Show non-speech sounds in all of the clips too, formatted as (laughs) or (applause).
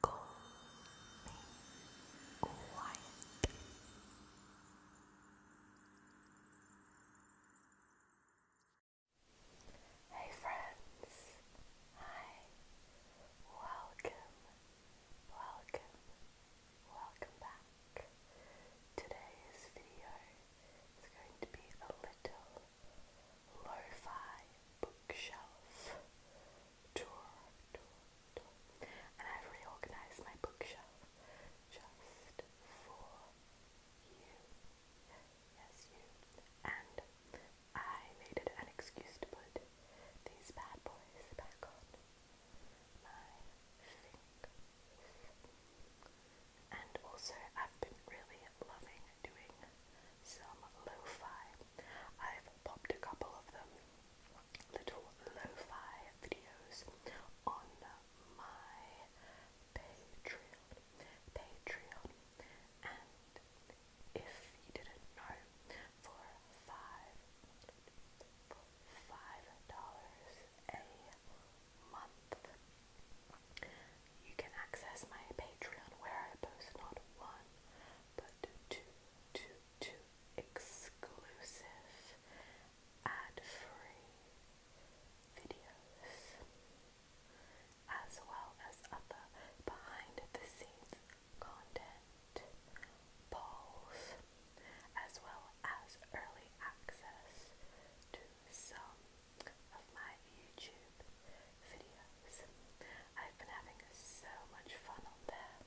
Go Hey friends, hi, welcome, welcome, welcome back. Today's video is going to be a little Lo-Fi Bookshelf Tour, And I've reorganized my bookshelf just for you. Yes, you. And I made it an excuse to put these bad boys back on my fingers. And also, I've been really loving doing some lo-fi. I've popped a couple of them, little lo-fi videos on my Patreon. Patreon. And if you didn't know, for five five dollars a month you can access my Patreon where I post not one, but two, two, two exclusive ad-free videos, as well as other behind-the-scenes content, polls, as well as early access to some of my YouTube videos. I've been having so much fun on there.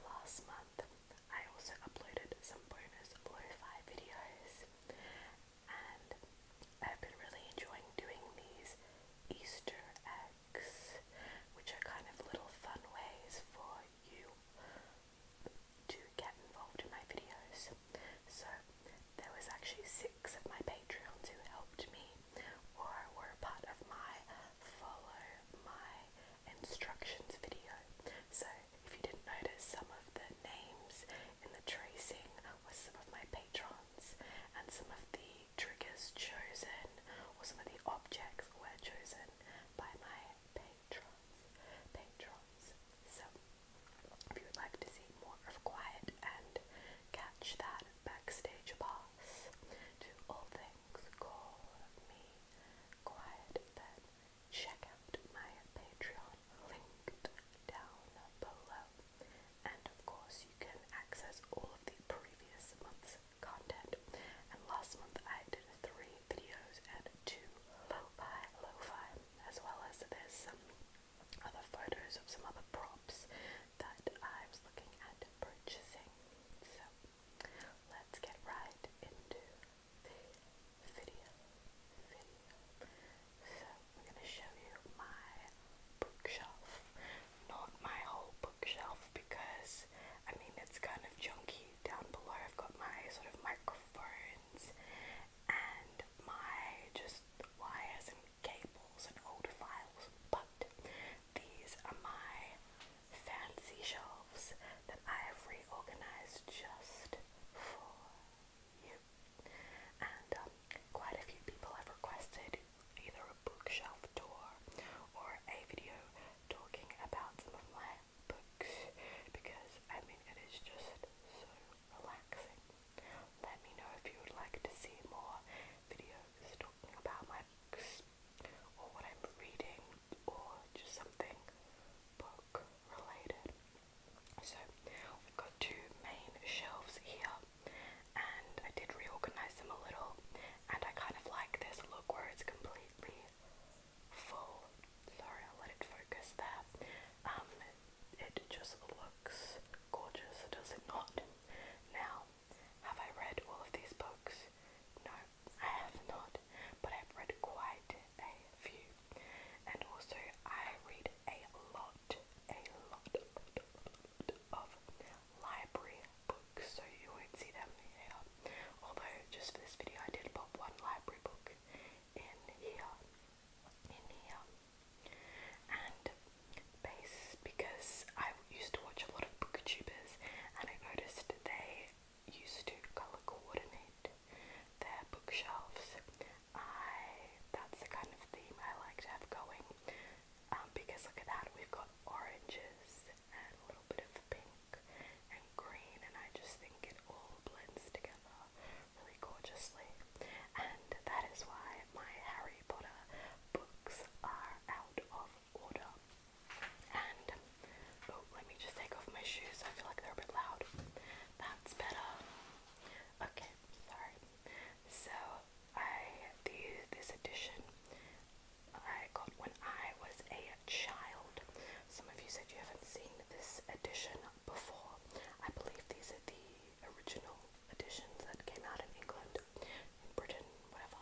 Last month, I also uploaded some bonus lo-fi videos, and I've been really enjoying doing these Easter eggs, which are kind of little fun ways for you to get involved in my videos. So there was actually six of my Patreons who helped me or were part of my follow my instructions video. So if you didn't notice, some of the names in the tracing were some of my patrons and some of the triggers chosen or some of the objects were chosen by my patrons. Patrons. So if you would like to see more of quiet and Catch that backstage pass to all things call me quiet. Then check out my Patreon linked down below. And of course, you can access all of the previous month's content. And last month, I did three videos and two lo-fi, lo-fi, as well as this. Um, other photos of some other props that I was looking at purchasing. So let's get right into the video. So I'm going to show you my bookshelf. Not my whole bookshelf because I mean it's kind of junky down below. I've got my sort of microphones and my just wires and cables and old files, but these are my fancy shelves that I have reorganized just for you. And um, quite a few people have requested either a bookshelf tour or a video talking about some of my books because I mean it is just so relaxing. Let me know if you would like to see more videos talking about my books or what I'm reading or just something book related. So we've got two main shelves here and I did reorganize them a little and I kind of like this look where it's completely full. Sorry, I'll let it focus there. Um, it just looks gorgeous, does it not? Now, have I read all of these books? No, I have not, but I've read quite a few. And also, I read a lot, a lot, a lot, a lot of library books, so you won't see them here. Although, just for this video, I did pop one library book in here in here. And base because I used to watch a lot of booktubers and I noticed they used to colour coordinate their bookshelves. I that's the kind of theme I like to have going. Um, because look at that, we've got oranges and a little bit of pink and green and I just think it all blends together gorgeously, and that is why my Harry Potter books are out of order. And oh, let me just take off my shoes. I feel like they're a bit loud. That's better. Okay, sorry. So I the this edition I got when I was a child. Some of you said you haven't seen this edition before. I believe these are the original editions that came out in England, in Britain, whatever.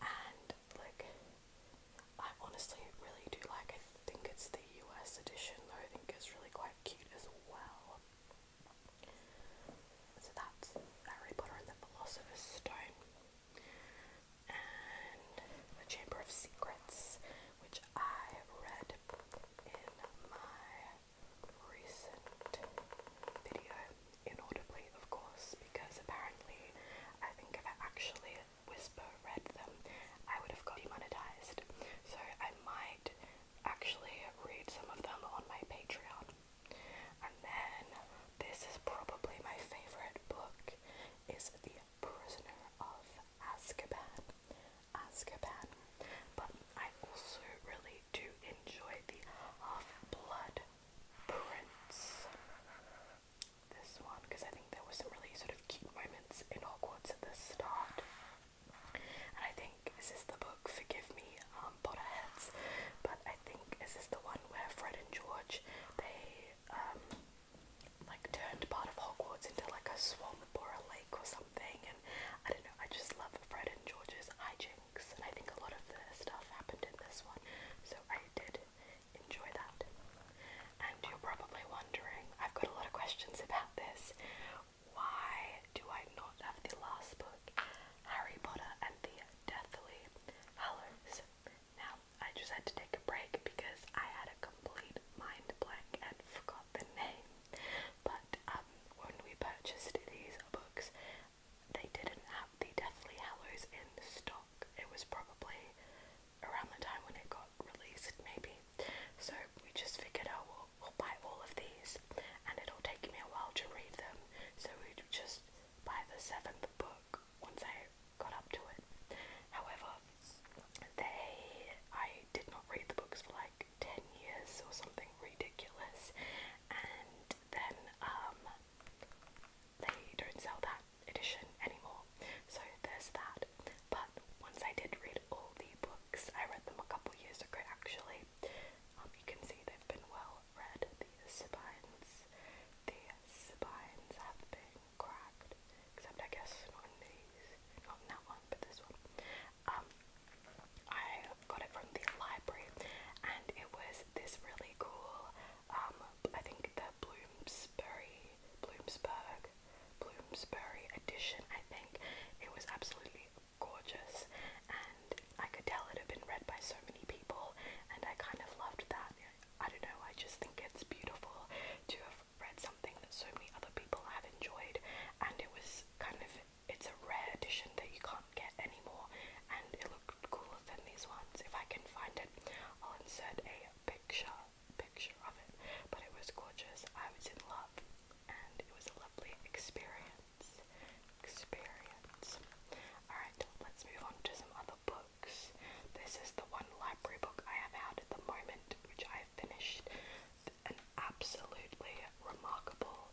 And like, I honestly really do like. I think it's the US edition though. I think it's really quite cute as well. So that's Harry Potter and the Philosopher's Stone, and the Chamber of Secrets, which I read in my recent video inaudibly, of course, because apparently I think if I actually whisper read them, I would have got demonetized. So I might actually read some of them on my Patreon. And then this is probably my favorite book is The Prisoner of Azkaban Azkaban. But I also really do enjoy the Half-Blood Prince. This one, because I think there were some really sort of cute moments in Hogwarts at the start. And I think, this is the book, forgive me, um, Potterheads, but I think, this is the one where Fred and George, they, um, like turned part of Hogwarts into like a swamp or a lake or something? something and I don't know, I just love Fred and George's hijinks and I think a lot of the stuff happened in this one. So I did enjoy that. And you're probably wondering, I've got a lot of questions about this. Why do I not have the last book, Harry Potter and the Deathly Hallows? Now, I just had to take a break because I had a complete mind blank and forgot the name. But um, when we purchased these books, they didn't have the Deathly Hallows in stock. It was probably around the time when it got released, maybe. So we just figured, oh, we'll, we'll buy all of these, and it'll take me a while to read them. So we just buy the seventh book once I got up to it. However, they I did not read the books for like 10 years or something ridiculous, and then um, they don't sell that edition anymore. So there's that. But once I did read all the books, I read them a couple years ago actually. Um, you can see they've been well read. The spines, the spines have been cracked. Except I guess not these, not that one, but this one. Um, I got it from the library, and it was this really cool. Um, I think the Bloomsbury, Bloomsburg, Bloomsbury edition. I think it was absolutely gorgeous, and I could tell it had been read by so many people, and I kind of loved that. I don't know. I just think it's beautiful to have read something that so many other people have enjoyed, and it was kind of it's a rare edition that you can't get anymore, and it looked cooler than these ones. If I can find it, I'll insert a picture picture of it. But it was gorgeous. I was in love, and it was a lovely experience. Experience. Alright, let's move on to some other books. This is the one library book I have out at the moment, which I have finished an absolutely remarkable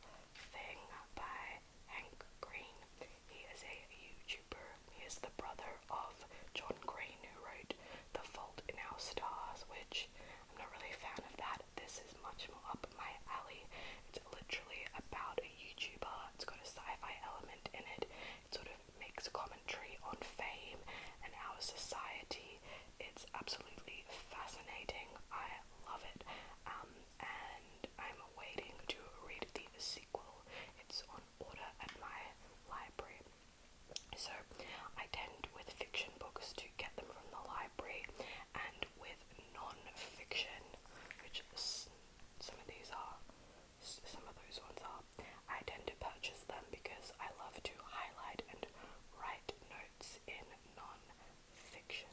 thing by Hank Green. He is a YouTuber. He is the brother of John Green, who wrote The Fault in Our Stars, which I'm not really a fan of that. This is much more up my alley. It's literally about a YouTuber. It's got a sci-fi element in it. It sort of makes a commentary on fame and our society. It's absolutely fascinating. I love it. Um, and I'm waiting to read the sequel. It's on order at my library. So I tend with fiction books to get them from the library, and with non-fiction, which some of these are, some of those ones are, I tend to purchase them because I love to highlight and write notes in non-fiction.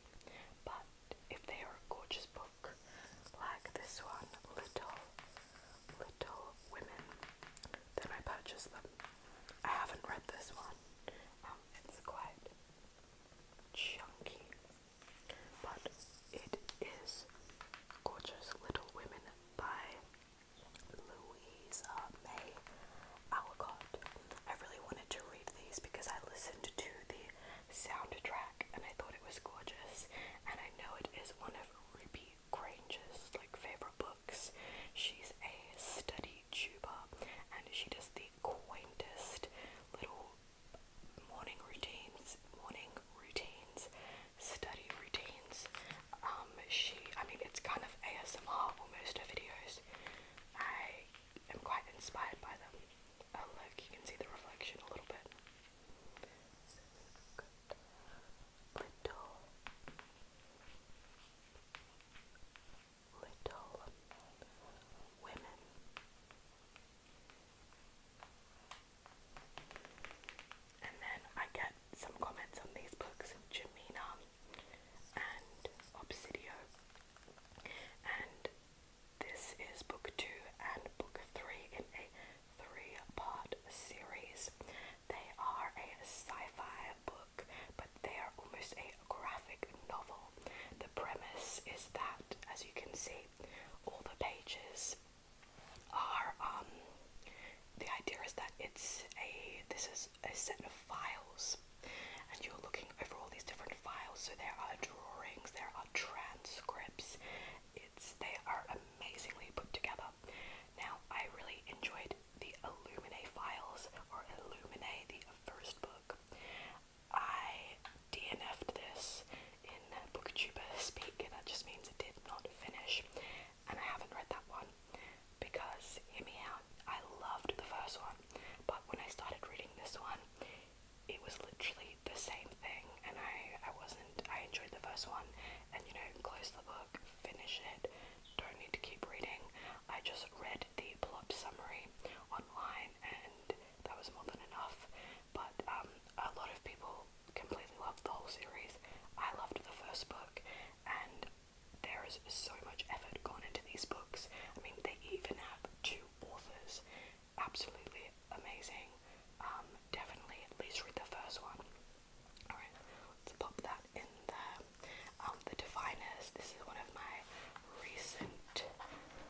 But if they are a gorgeous book, like this one, Little Little Women, then I purchase them. I haven't read this one. Um, it's quite chunky, but it is gorgeous. Little Women by Louisa May Alcott. I really wanted to read these because I listened to the soundtrack and I thought it was gorgeous. And I know it is one of Ruby Grange's like favorite books. She's a study tuber and she does the quaintest little morning routines, morning routines, study routines. Um, she, I mean, it's kind of ASMR almost her videos, I am quite inspired by them. Oh look, you can see the reflection a little bit. Little, little women. And then I get some comments on these books. Jamina and Obsidio. And this is book two and book three in a three part series. They are a sci fi book, but they are almost a graphic novel. The premise is that, as you can see, all the pages are um, the idea is that it's a this is a set of files, and you're looking over all these different files. So there are drawings, there are transcripts. It's they are amazingly put together. Now I really enjoyed the Illuminae files or Illuminae, the first book. I DNF'd this in BookTuber speak. That just means it did not finish and I haven't read that one because, hear me out, I loved the first one, but when I started reading this one, it was literally the same thing, and I, I wasn't, I enjoyed the first one, and you know, close the book, finish it, don't need to keep reading. I just read the plot summary online, and that was more than enough, but um, a lot of people completely loved the whole series. I loved the first book, and there is so much effort gone into these books. I mean, they even have two authors. Absolutely amazing. Um, definitely at least read the first one. Alright, let's pop that in there. Um, the Diviners, this is one of my recent,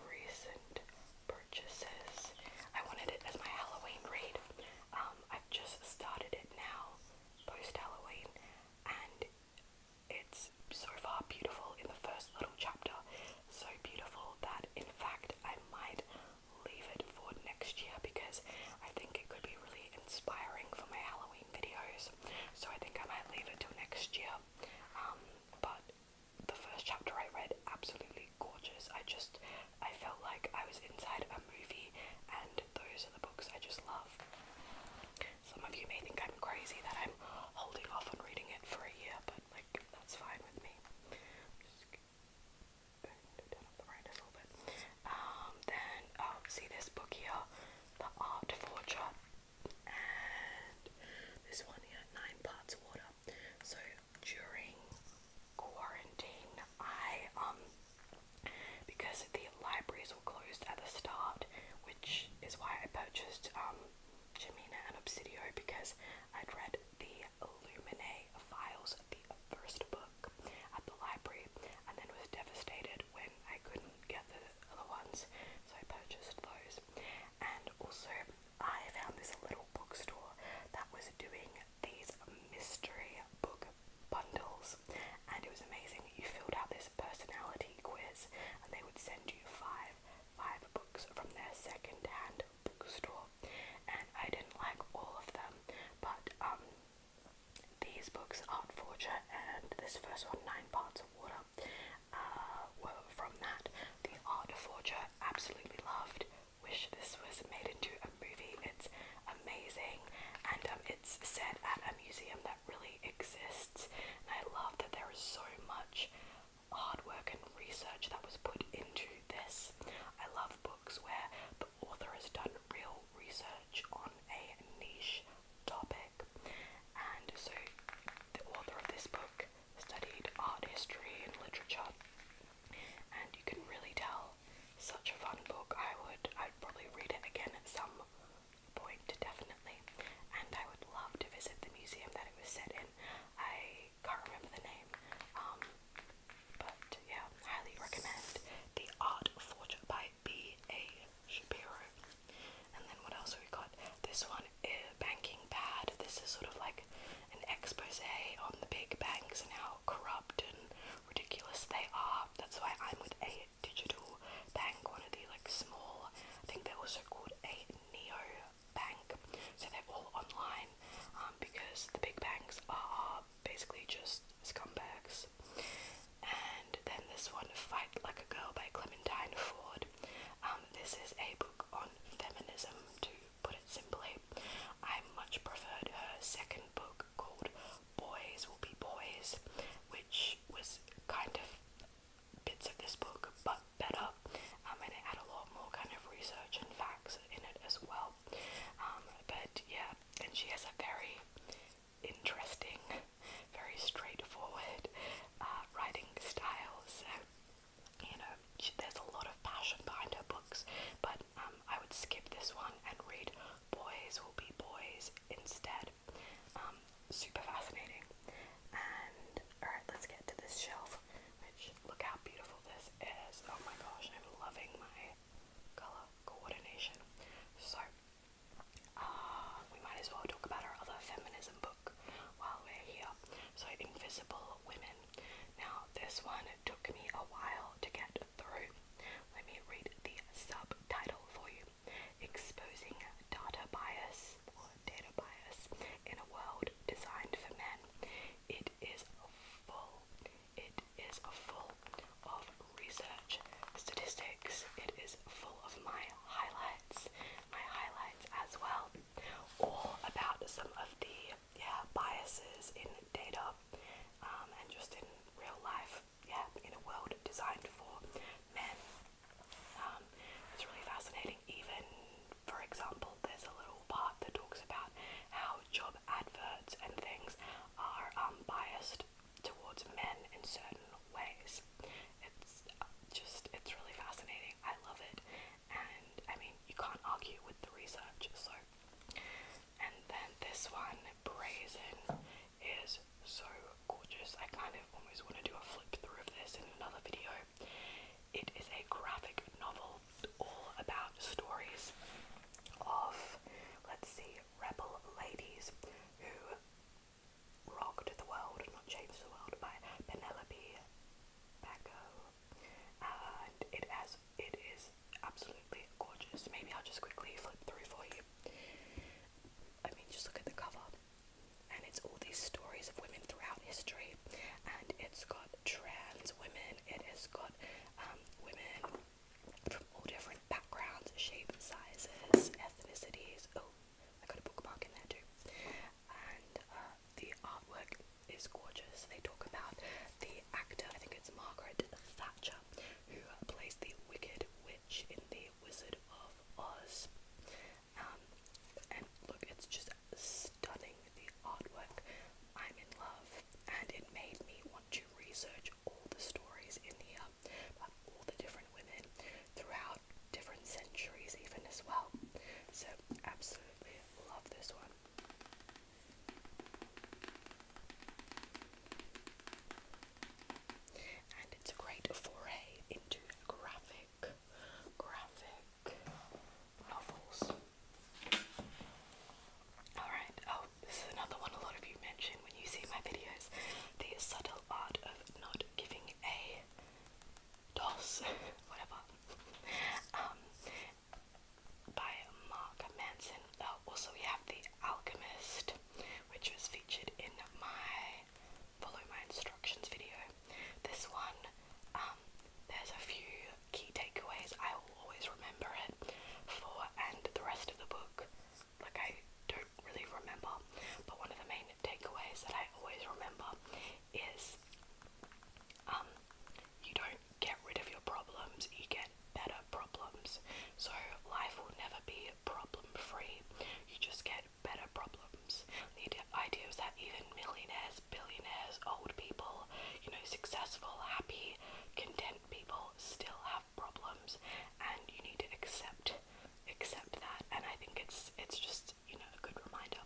recent purchases. I wanted it as my Halloween read. Um, I've just started it now, post Halloween, and it's so far beautiful in the first little chapter, so beautiful that in fact I might leave it for next year because I think it could be really inspiring for my Halloween videos. So I think I might leave it till next year. Um, but the first chapter I read, absolutely gorgeous. I just, I felt like I was inside a movie, and those are the books I just love. Some of you may think I'm crazy that I'm holding off on reading it for a year, but like that's fine with me. Just turn up the brightness a little bit. Um, then oh, see this book here, The Art Forger, and this one here, Nine Parts Water. So during quarantine, I um because the libraries were closed at the start, which is why I purchased um, Jemina and Obsidio because I'd read the Illuminae files the first book at the library and then was devastated when I couldn't get the other ones, so I purchased those. And also, I found this little bookstore that was doing these mystery book bundles, and it was amazing. You filled out this personality quiz, and they would send you five five books from their second-hand bookstore, and I didn't like all of them, but um, these books, Art Forger and this first one, Nine Parts of Water, uh, were from that. The Art Forger, absolutely loved. Wish this was made into a movie. It's amazing, and um, it's set at a museum that really exists, and I love that there is so much hard work and research that was put into this. I love books where the author has done real research on a niche topic, and so the author of this book studied art history and literature, and you can really tell such a fun book. I would I'd probably read it again at some point definitely. And I would love to visit the museum that it was set in. I can't remember the name. Um, but yeah, highly recommend The Art Forge by B. A. Shapiro. And then what else we got? This one eh, Banking Bad. This is sort of like an expose on the big banks and how corrupt and ridiculous they are. That's why I'm with A digital bank, one of the like small. I think they're also called a neo bank, so they're all online um, because the big banks are basically just scumbags. And then this one, Fight Like a Girl by Clementine Ford. Um, this is a book on feminism, to put it simply. I much preferred her second book called boys will be boys, which was kind of bits of this book but better, um, and it had a lot more kind of research and facts in it as well. Um, but yeah, and she has a very interesting, very straightforward uh, writing style. So you know, she, there's a lot of passion behind her books, but um, um, I would skip this one and read Boys Will Be Boys instead. Um, super fascinating. And alright, let's get to this shelf, which look how beautiful this is. Oh my gosh, I'm loving my colour coordination. So, uh, we might as well talk about our other feminism book while we're here. So, Invisible Women. Now, this one took me a while to get let me read the subtitle for you Exposing Data Bias Data Bias in a World Designed for Men. It is full, it is full of research statistics, it is full of my highlights, my highlights as well, all about some of the yeah, biases in data um, and just in real life yeah, in a world designed for men. Um, it's really fascinating. Even, for example, there's a little part that talks about how job adverts and things are um, biased towards men in certain ways. It's uh, just, it's really fascinating. I love it, and I mean, you can't argue with the research, so and then this one, Brazen, is so gorgeous. I kind of almost want to do a flip through of this in another video. It is a graphic novel all about stories of, let's see, rebel ladies who rocked the world, and not changed the world, by Penelope Bacco. And it has it is absolutely gorgeous. Maybe I'll just quickly flip through for you. I mean, just look at the cover, and it's all these stories of women throughout history, and it's got trans women, it has got um, women from all different backgrounds, shapes, sizes, ethnicities. Oh, I got a bookmark in there too. And uh, the artwork is gorgeous. They talk about the actor, I think it's Margaret Thatcher, who plays the Wicked Witch in The Wizard of Oz. Um, and look, it's just stunning, the artwork. I'm in love, and it made me want to research all the stories in here about all the different women throughout different centuries, even as well. So, absolutely love this one. And it's a great foray into graphic, graphic novels. Alright, oh, this is another one a lot of you mention when you see my videos the subtle art of not giving a DOS, (laughs) whatever. Um, by Mark Manson. Oh, also, we have The Alchemist, which was featured in my Follow My Instructions video. This one, um, there's a few key takeaways I will always remember it for, and the rest of the book, like I don't really remember. But one of the main takeaways that I always remember is um, you don't get rid of your problems, you get better problems. So life will never be problem free. You just get better problems. The idea is that even millionaires, billionaires, old people, you know, successful, happy, content people still have problems and you need to accept accept that and I think it's it's just, you know, a good reminder.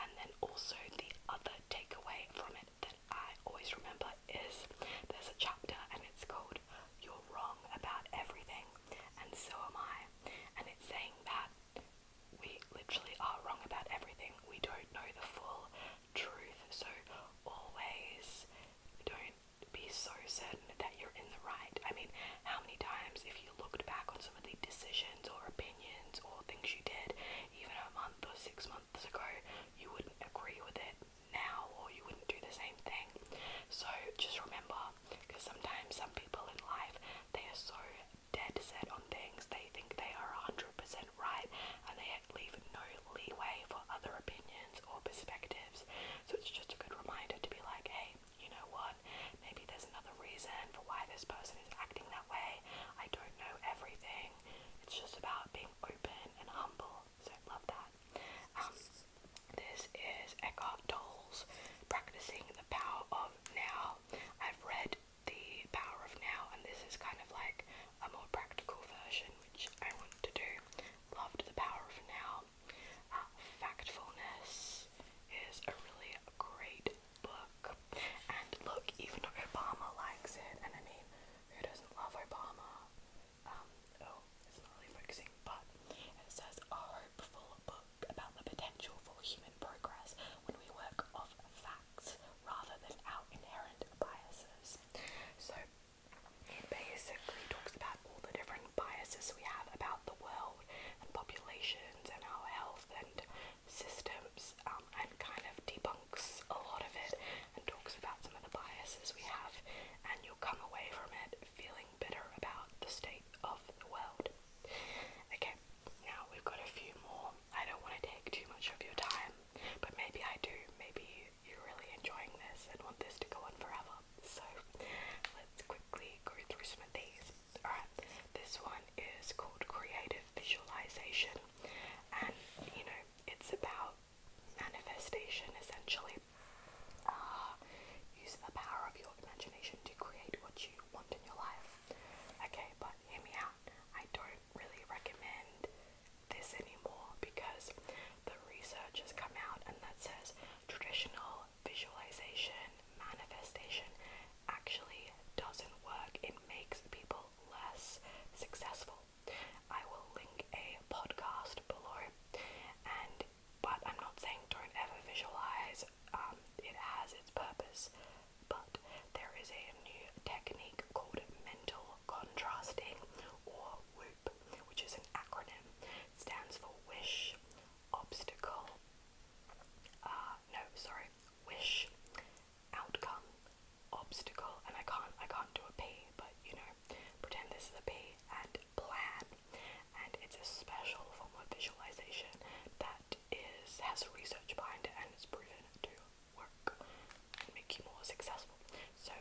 And then also the other takeaway from it that I always remember is there's a chapter and it's called You're Wrong About Everything and So Am I. And it's saying that we literally are wrong about everything. We don't know the full truth. So always don't be so certain that you're in the right. I mean, how many times if you looked back on some of the decisions or opinions or things you did, even a month or six months ago, you wouldn't agree with it now or you wouldn't do the same thing. So just remember, because sometimes some people in life, they are so dead set on things, they think they are 100% right and they leave no leeway for other opinions or perspectives. So it's just a good reminder to be like, hey, you know what? Maybe there's another reason for why this person is acting that way. I don't know everything. It's just about being open and humble so I love that. Um, this is Eckhart Tolle's Practicing the Power of Now. I've read The Power of Now, and this is kind of like a more practical version, which I want to do. Loved The Power of Now. Uh, Factfulness is a really great book. And look, even Obama likes it, and I mean, who doesn't love Obama? um, oh, it's not really focusing, but it says a hopeful book about the potential for human progress when we work off facts rather than our inherent biases. So it basically talks about all the different biases we have about the world and populations and our health and systems um, and kind of debunk debunks a lot of it and talks about some of the biases we have, and you'll come away from it feeling bitter about the state of the world. Okay, now we've got a few more. I don't want to take too much of your time, but maybe I do. Maybe you're really enjoying this and want this to go on forever. So let's quickly go through some of these. Alright, this one is called Creative Visualization, and you know, it's about manifestation essentially. Uh, use the power of your imagination to create what you want in your life. Okay, but hear me out. I don't really recommend this anymore because the research has come out and that says traditional visualization, manifestation actually doesn't work. It makes people less successful I will link a podcast below, and but I'm not saying don't ever visualize. Um, it has its purpose, but there is a new technique called mental contrasting, or WHOOP, which is an acronym. stands for Wish, Obstacle. Uh, no, sorry, Wish, outcome obstacle and I can't I can't do a P but you know pretend this is a P and plan and it's a special form of visualization that is has research behind it and it's proven to work and make you more successful. So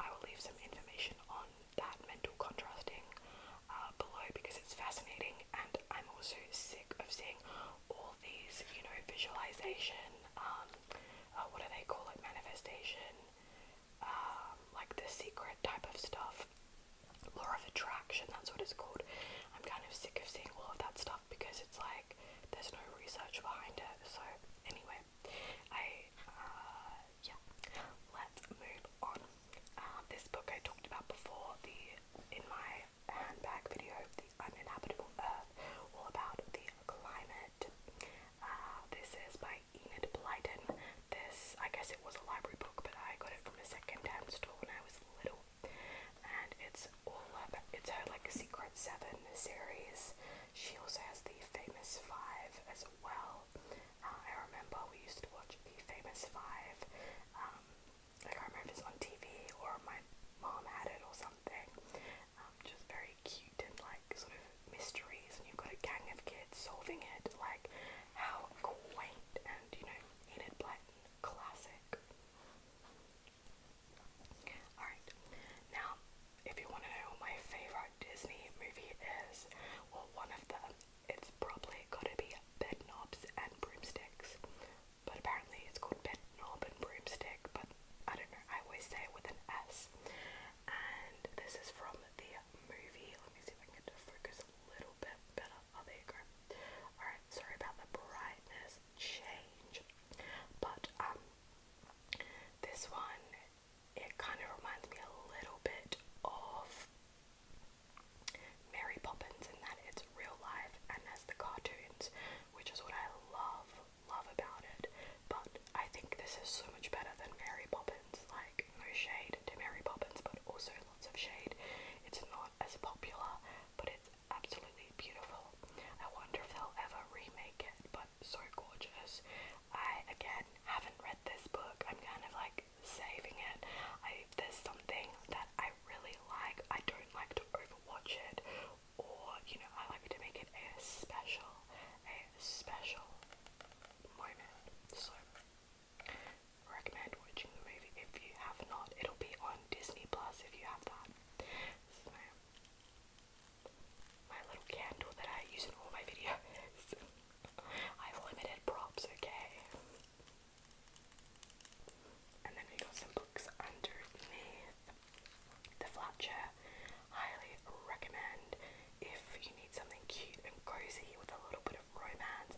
I will leave some information on that mental contrasting uh, below because it's fascinating and I'm also sick of seeing all these, you know, visualization um, uh, what do they call it? Manifestation, um, like the secret type of stuff. Law of attraction, that's what it's called. I'm kind of sick of seeing all of that stuff because it's like there's no research behind it. So, anyway, I, uh, yeah, let's move on. Uh, this book I talked about before, the in my handbag video, The Uninhabitable Earth, all about the climate it. Uh, this is by Enid Blyton. This, I guess it was a library book, but I got it from a second-hand store when I was little. And it's all about, it's her like Secret Seven series. She also has the Famous Five as well. Uh, I remember we used to watch the Famous Five. Um, I can't remember if it's on TV or my mom had it or something. Um, just very cute and like sort of mysteries, and you've got a gang of kids solving it. Like, how quaint and you know, Enid Blyton classic. Alright, now if you want to know my favourite Disney movie is, well, one of them, it's probably gotta be Bed and Broomsticks. But apparently it's called Bed and Broomstick, but I don't know, I always say it with an S. And this is from the movie. Let me see if I can get to focus a little bit better. Oh, there you Alright, sorry about the brightness change. But, um, this one, it kind of reminds me a little bit of Mary Poppins in that it's real life and there's the cartoons, which is what I love love about it, but I think this is so much better than Mary Poppins. Like, no shade to Mary Poppins, but also lots of shade. It's not as popular, but it's absolutely beautiful. I wonder if they'll ever remake it, but so gorgeous. I, again, haven't read this book. I'm kind of like saving it. I, there's something that I really like. I don't like to overwatch it or you know, I like to make it a special, a special moment. So recommend watching the movie if you have not. It'll be on Disney Plus if you have that. my, little candle that I use in all my videos. (laughs) I've limited props, okay. And then we got some books underneath the flat chair. Highly recommend if you need something cute and cozy with a little bit of romance.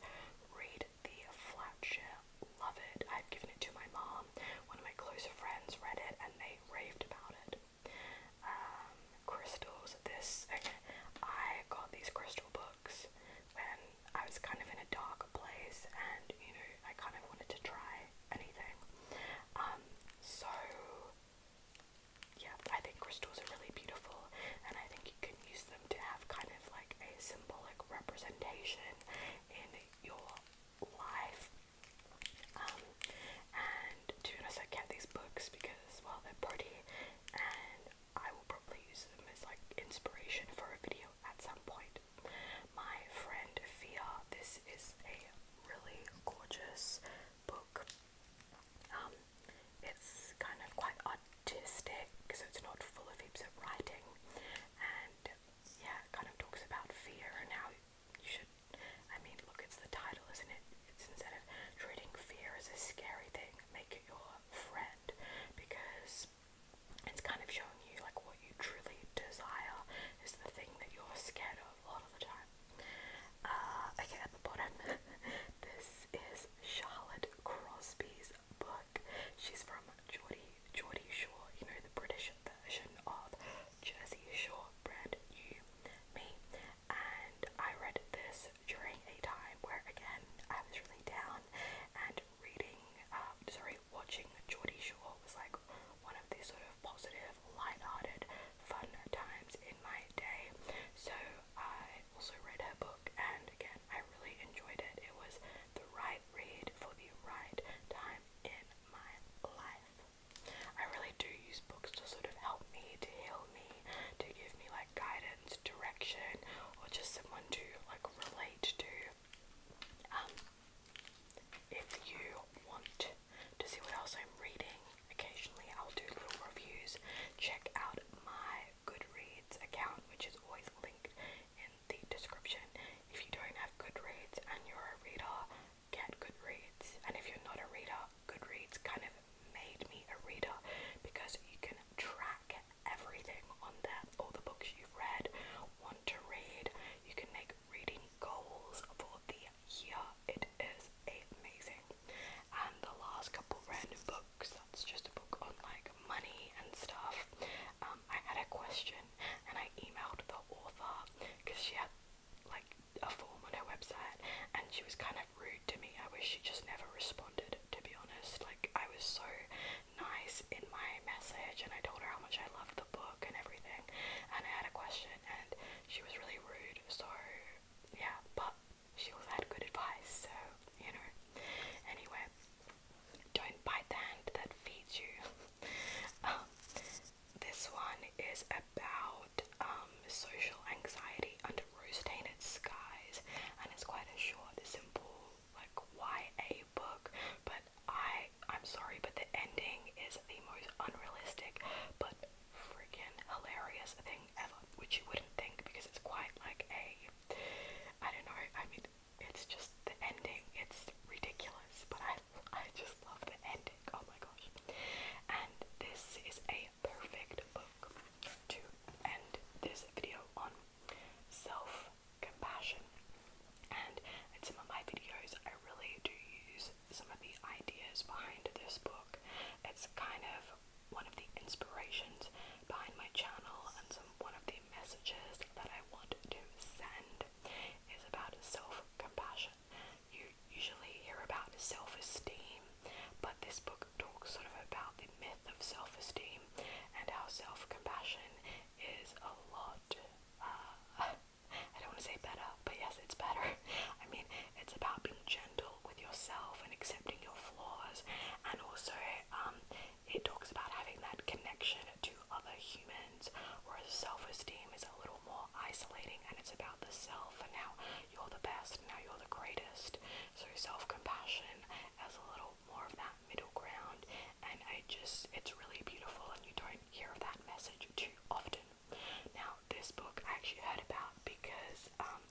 Read the flat chair. Love it. I've given it to my mom. One of my closer friends read it and they raved about it. Um, crystals. This I got these crystal books when I was kind of in a dark place and you know I kind of wanted to try anything. Um, so yeah, I think crystals are really beautiful, and I think you can use them to have kind of like a symbolic representation in your life. Um, and to be honest, I kept these books because, well, they're pretty, and I will probably use them as like inspiration for a video at some point. My friend Fia, this is a really gorgeous book. Um, it's kind of quite artistic, so it's not full of heaps of writing, and yeah, it kind of talks about fear and how you should. I mean, look, it's the title, isn't it? It's instead of treating fear as a scary thing, make it your friend because it's kind of showing you like what you truly desire is the thing that you're scared of a lot of the time. Uh, okay, at the bottom, (laughs) this is Charlotte Crosby's book. She's from Geordie, Geordie Shore, you know, the British version of Jersey Shore Brand New Me. And I read this during a time where, again, I was really down and reading, uh, sorry, watching Geordie Shore was like one of the sort of positive, light-hearted, fun times in my day. So I also read her book, and again, I really enjoyed it. It was the right read for the right time in my life. I really do use books to sort of help me, to heal me, to give me like guidance, direction, or just someone to like relate to. Um, if you want to see what else I'm reading, occasionally I'll do little reviews. Check out my Goodreads account, which is always linked in the description. If you don't have Goodreads and you're a reader, get Goodreads. And if you're not a reader, Goodreads kind of made me a reader because you can track everything on there all the books you've read, want to read, you can make reading goals for the year. It is amazing. And the last couple random books, that's just a book on like money and stuff. Um, I had a question and I emailed the author because she had like a form on her website and she was kind of rude to me. I wish she just never responded to be honest. Like I was so nice this in my message and I told her how much I loved the book and everything and I had a question and she was really rude so yeah but she also had good advice so you know anyway don't bite the hand that feeds you (laughs) um, this one is about um, social anxiety under rose-tainted skies and it's quite a short simple like YA book, but I I'm sorry, but the ending is the most unrealistic but freaking hilarious thing ever, which you wouldn't think because it's quite like a I don't know, I mean it's just the ending, it's ridiculous, but I I just love the ending. Oh my gosh. And this is a perfect book to end this video on. Self compassion. And in some of my videos, I really do use some of the ideas behind this book. It's kind of one of the inspirations behind my channel, and some one of the messages that I want to send is about self-compassion. You usually hear about self-esteem, but this book talks sort of about the myth of self-esteem and how self-compassion is a lot. Uh, I don't want to say better, but yes, it's better. (laughs) I mean, it's about being gentle with yourself and accepting your flaws, and also um, it talks about having that connection to other humans, whereas self esteem is a little more isolating and it's about the self and now you're the best, now you're the greatest. So, self compassion as a little more of that middle ground and I just it's really beautiful and you don't hear of that message too often. Now this book I actually heard about because um,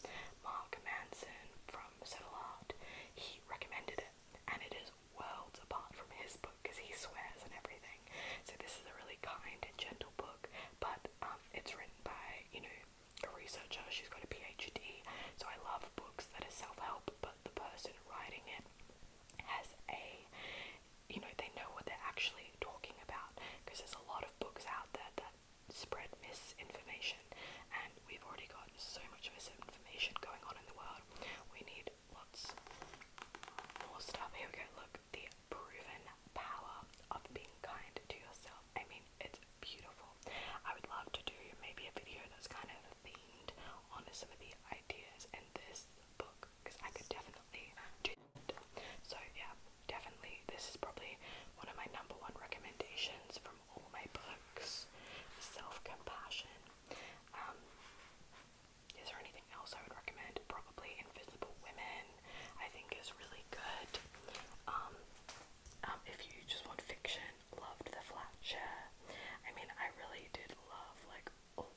Mark Manson from Subtle Art he recommended it and it is worlds apart from his book because he swears and everything. So this is a really kind and gentle book, but um, it's written by you know a researcher. She's got a PhD, so I love books that are self-help, but the person writing it has a you know they know what they're actually talking about because there's a lot of books out there that spread misinformation and we've already got so much misinformation going on in the world we need lots more stuff here we go look the proven power of being kind to yourself i mean it's beautiful i would love to do maybe a video that's kind of themed on some of the ideas in this book because I could definitely do So yeah, definitely this is probably one of my number one recommendations from all my books. Self-compassion. Um, is there anything else I would recommend? Probably Invisible Women. I think is really good. Um, um if you just want fiction, loved The Flat Chair. I mean, I really did love like a of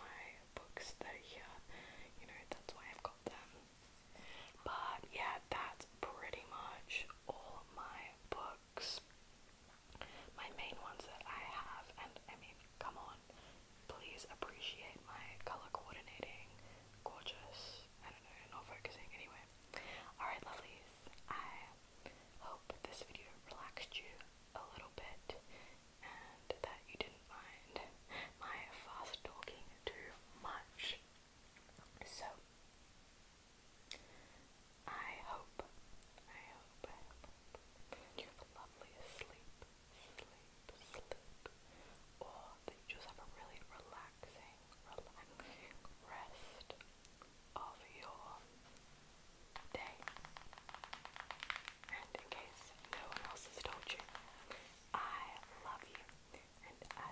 my books that are you know, that's why I've got them. But yeah, that's pretty much all of my books. My main ones that I have, and I mean, come on, please appreciate my color coordinating. Gorgeous. I don't know, not focusing anyway. Alright, lovelies, I hope this video relaxed you a little bit and that you didn't mind my fast talking too much. So, I hope, I hope, I hope you have lovely sleep, sleep, sleep, or that you just have a really relaxing, relaxing rest of your day. And in case no one else has told you, I love you and I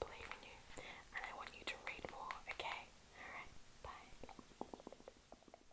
believe in you and I want you to read more, okay? Alright, bye.